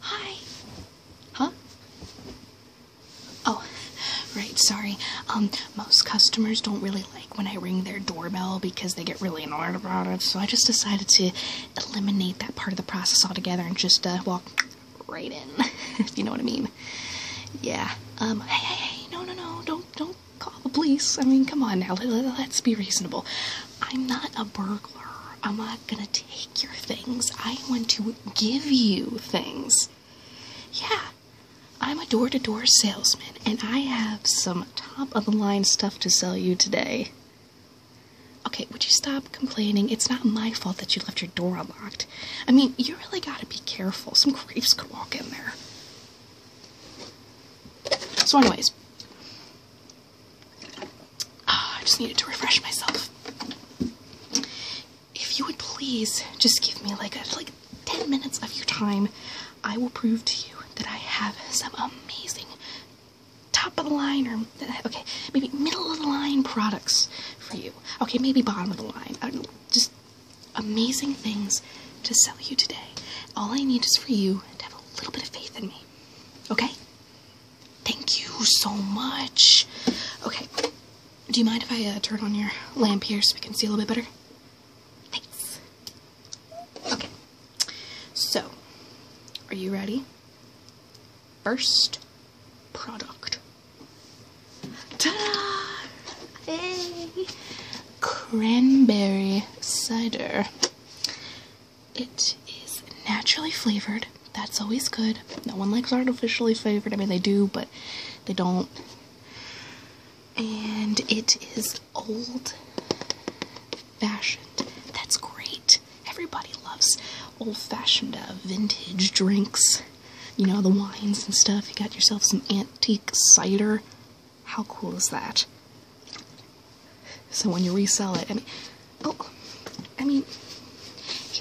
Hi. Huh? Oh, right, sorry. Um, most customers don't really like when I ring their doorbell because they get really annoyed about it, so I just decided to eliminate that part of the process altogether and just, uh, walk right in. you know what I mean? Yeah. Um, hey, hey, hey, no, no, no, don't, don't call the police. I mean, come on now, let's be reasonable. I'm not a burglar. I'm not gonna take your things. I want to give you things. Yeah, I'm a door to door salesman, and I have some top of the line stuff to sell you today. Okay, would you stop complaining? It's not my fault that you left your door unlocked. I mean, you really gotta be careful. Some creeps could walk in there. So, anyways, Ah, I just needed to refresh myself. If you would please just give me like like 10 minutes of your time, I will prove to you that I have some amazing top of the line or okay, maybe middle of the line products for you. Okay, maybe bottom of the line. Uh, just amazing things to sell you today. All I need is for you to have a little bit of faith in me. Okay? Thank you so much. Okay. Do you mind if I uh, turn on your lamp here so we can see a little bit better? Thanks. Okay. So, are you ready? First product. Ta-da! Hey! Cranberry cider. It is naturally flavored. That's always good. No one likes artificially flavored. I mean, they do, but they don't. And it is old fashioned. That's great. Everybody loves old fashioned uh, vintage drinks. You know, the wines and stuff. You got yourself some antique cider. How cool is that? So when you resell it, I mean, oh, I mean,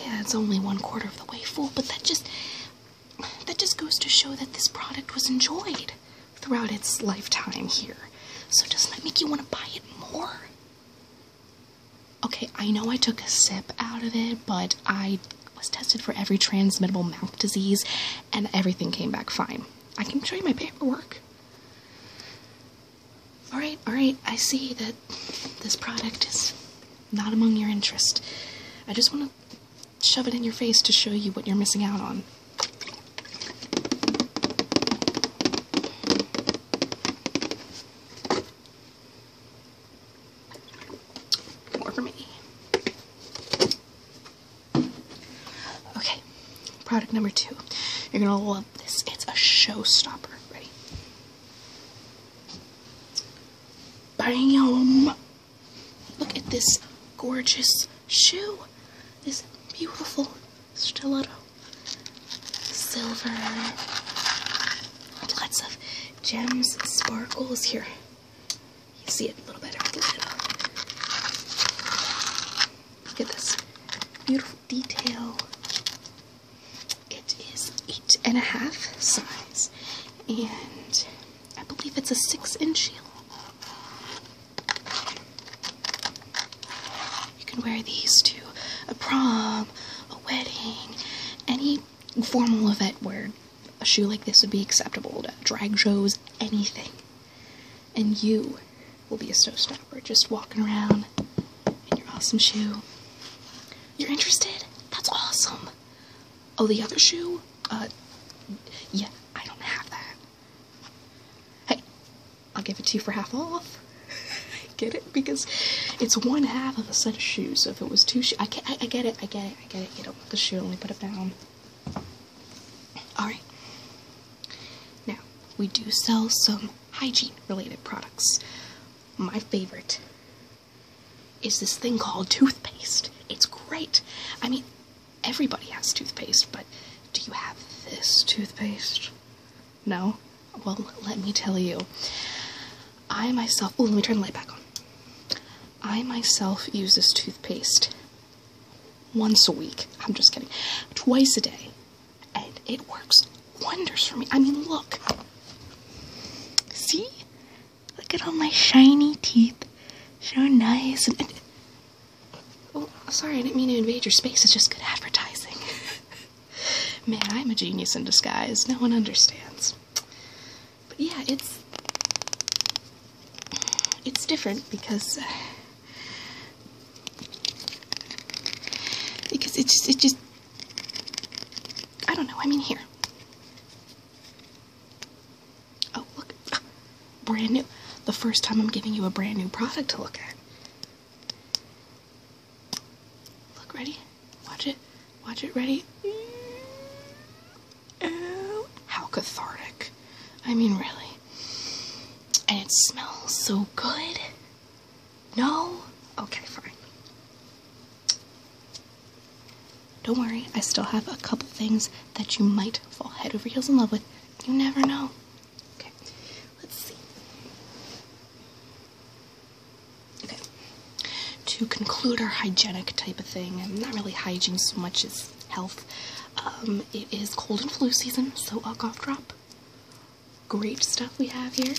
yeah, it's only one quarter of the way full, but that just, that just goes to show that this product was enjoyed throughout its lifetime here. So doesn't that make you want to buy it more? Okay, I know I took a sip out of it, but I was tested for every transmittable mouth disease and everything came back fine. I can show you my paperwork. Alright, alright, I see that this product is not among your interest. I just want to shove it in your face to show you what you're missing out on. More for me. Okay, product number two. You're gonna love this. It's a showstopper. Ready? Bam! Look at this gorgeous shoe. This beautiful stiletto. Silver. Lots of gems, sparkles here. You see it a little better. Look at this beautiful detail. It is eight and a half size, and I believe it's a six inch heel. You can wear these to a prom, a wedding, any formal event where a shoe like this would be acceptable drag shows, anything and you will be a snow showstopper just walking around in your awesome shoe. You're interested? That's awesome. Oh, the other shoe? Uh, yeah, I don't have that. Hey, I'll give it to you for half off. I get it? Because it's one half of a set of shoes. So if it was two shoes, I, I, I, get it, I get it, I get it. You don't want the shoe, only put it down. Alright. Now, we do sell some hygiene related products. My favorite is this thing called toothpaste. It's great. I mean, everybody has toothpaste, but do you have this toothpaste? No? Well, let me tell you. I myself. Oh, let me turn the light back on. I myself use this toothpaste once a week. I'm just kidding. Twice a day and it works wonders for me. I mean, look. See? Look at all my shiny teeth. So nice. oh, sorry, I didn't mean to invade your space. It's just good advertising. Man, I'm a genius in disguise. No one understands. But yeah, it's... It's different because... Uh, because it just, it just, I don't know, I mean here. Oh, look, ah, brand new. The first time I'm giving you a brand new product to look at. Look, ready? Watch it, watch it, ready? Oh, how cathartic. I mean, really. And it smells so good. No? Okay, fine. Don't worry, I still have a couple things that you might fall head over heels in love with. You never know. Okay, let's see. Okay, to conclude our hygienic type of thing, and not really hygiene so much as health, um, it is cold and flu season, so a cough drop great stuff we have here.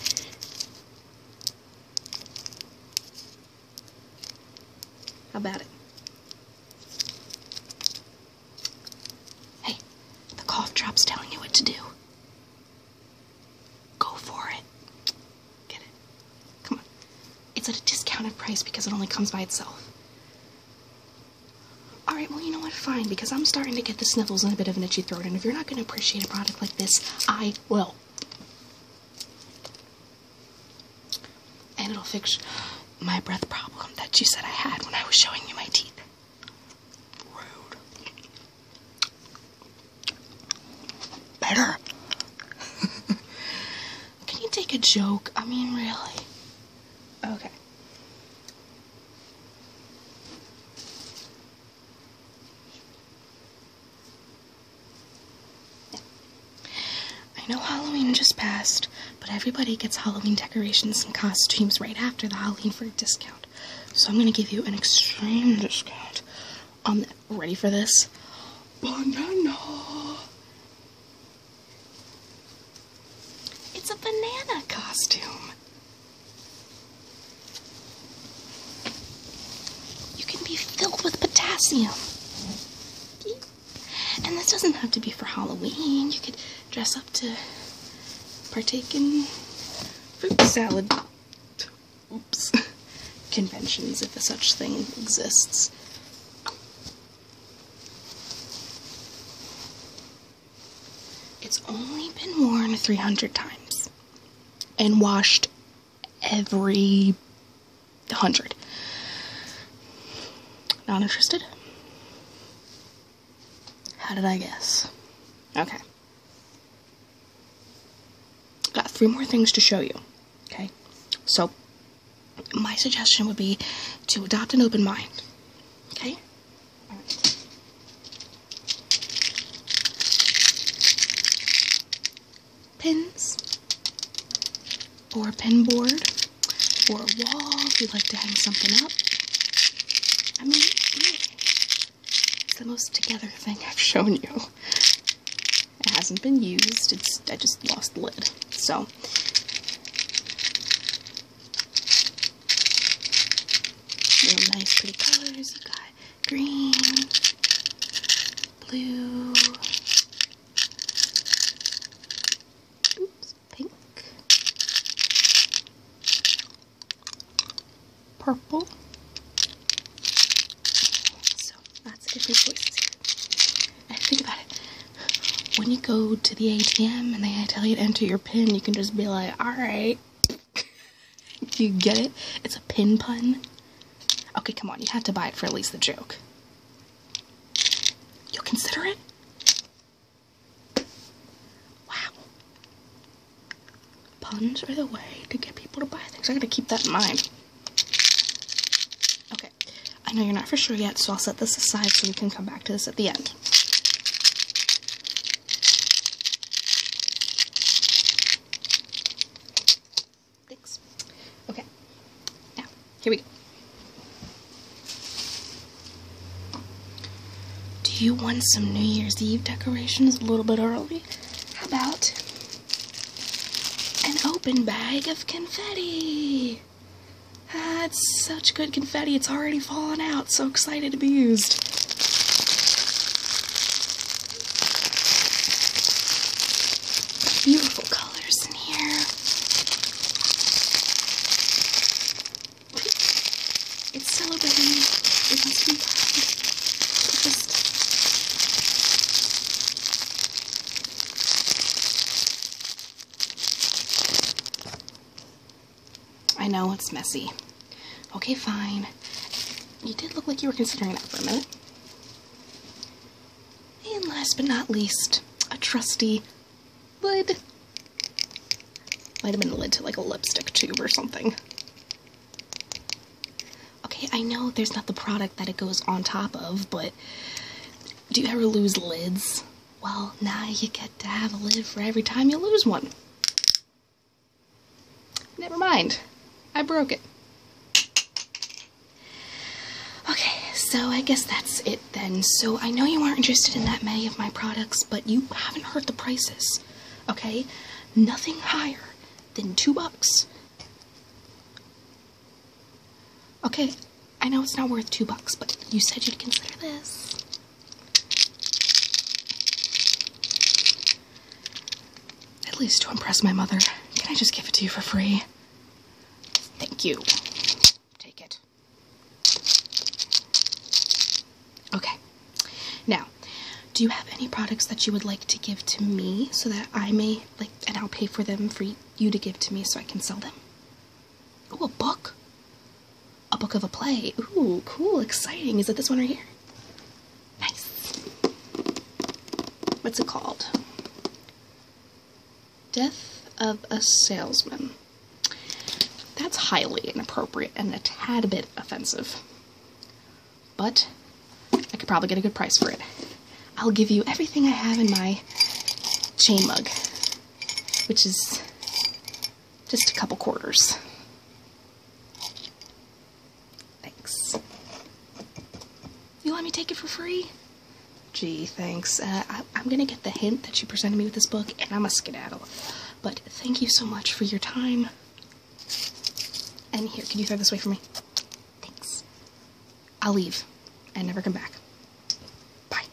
How about it? Hey, the cough drop's telling you what to do. Go for it. Get it? Come on. It's at a discounted price because it only comes by itself. Alright, well, you know what? Fine, because I'm starting to get the sniffles and a bit of an itchy throat, and if you're not going to appreciate a product like this, I will. And it'll fix my breath problem that you said I had when I was showing you my teeth. Rude. Better. Can you take a joke? I mean, really. Okay. I know Halloween just passed, but everybody gets Halloween decorations and costumes right after the Halloween for a discount. So I'm gonna give you an extreme discount I'm um, Ready for this? Banana! It's a banana costume. You can be filled with potassium. And this doesn't have to be for Halloween. You could dress up to partake in fruit salad oops, conventions, if a such thing exists. It's only been worn 300 times and washed every 100. Not interested? How did I guess? Okay. Got three more things to show you. Okay? So, my suggestion would be to adopt an open mind. Okay? Pins or a pin board or a wall if you'd like to hang something up. I mean, it's the most together thing I've shown you. It hasn't been used. It's I just lost the lid. So Real nice, pretty colors. You got green, blue, oops, pink, purple. So that's a different choice. I think about it when you go to the ATM and they tell you to enter your PIN, you can just be like, alright. you get it? It's a pin pun. Okay, come on, you have to buy it for at least the joke. You'll consider it? Wow. Puns are the way to get people to buy things. I gotta keep that in mind. Okay, I know you're not for sure yet, so I'll set this aside so we can come back to this at the end. Thanks. Okay. Now, here we go. Do you want some New Year's Eve decorations a little bit early? How about an open bag of confetti? Ah, it's such good confetti. It's already fallen out. So excited to be used. Beautiful colors in here. It's celebrating. It must be Just... I know it's messy. Okay, fine. You did look like you were considering that for a minute. And last but not least, a trusty lid. Might have been a lid to like a lipstick tube or something. Okay, I know there's not the product that it goes on top of, but do you ever lose lids? Well, now you get to have a lid for every time you lose one. Never mind. I broke it. Okay, so I guess that's it then. So I know you aren't interested in that many of my products, but you haven't hurt the prices. Okay? Nothing higher than two bucks. Okay, I know it's not worth two bucks, but you said you'd consider this. At least to impress my mother. Can I just give it to you for free? Thank you. Take it. Okay. Now, do you have any products that you would like to give to me so that I may, like, and I'll pay for them for you to give to me so I can sell them? Oh, a book. A book of a play. Ooh, cool, exciting. Is it this one right here? Nice. What's it called? Death of a Salesman. That's highly inappropriate and a tad bit offensive. But I could probably get a good price for it. I'll give you everything I have in my chain mug, which is just a couple quarters. Thanks. You let me take it for free? Gee, thanks. Uh, I, am gonna get the hint that you presented me with this book, and I'm a skedaddle. But thank you so much for your time. And here, can you throw this away for me? Thanks. I'll leave and never come back. Bye.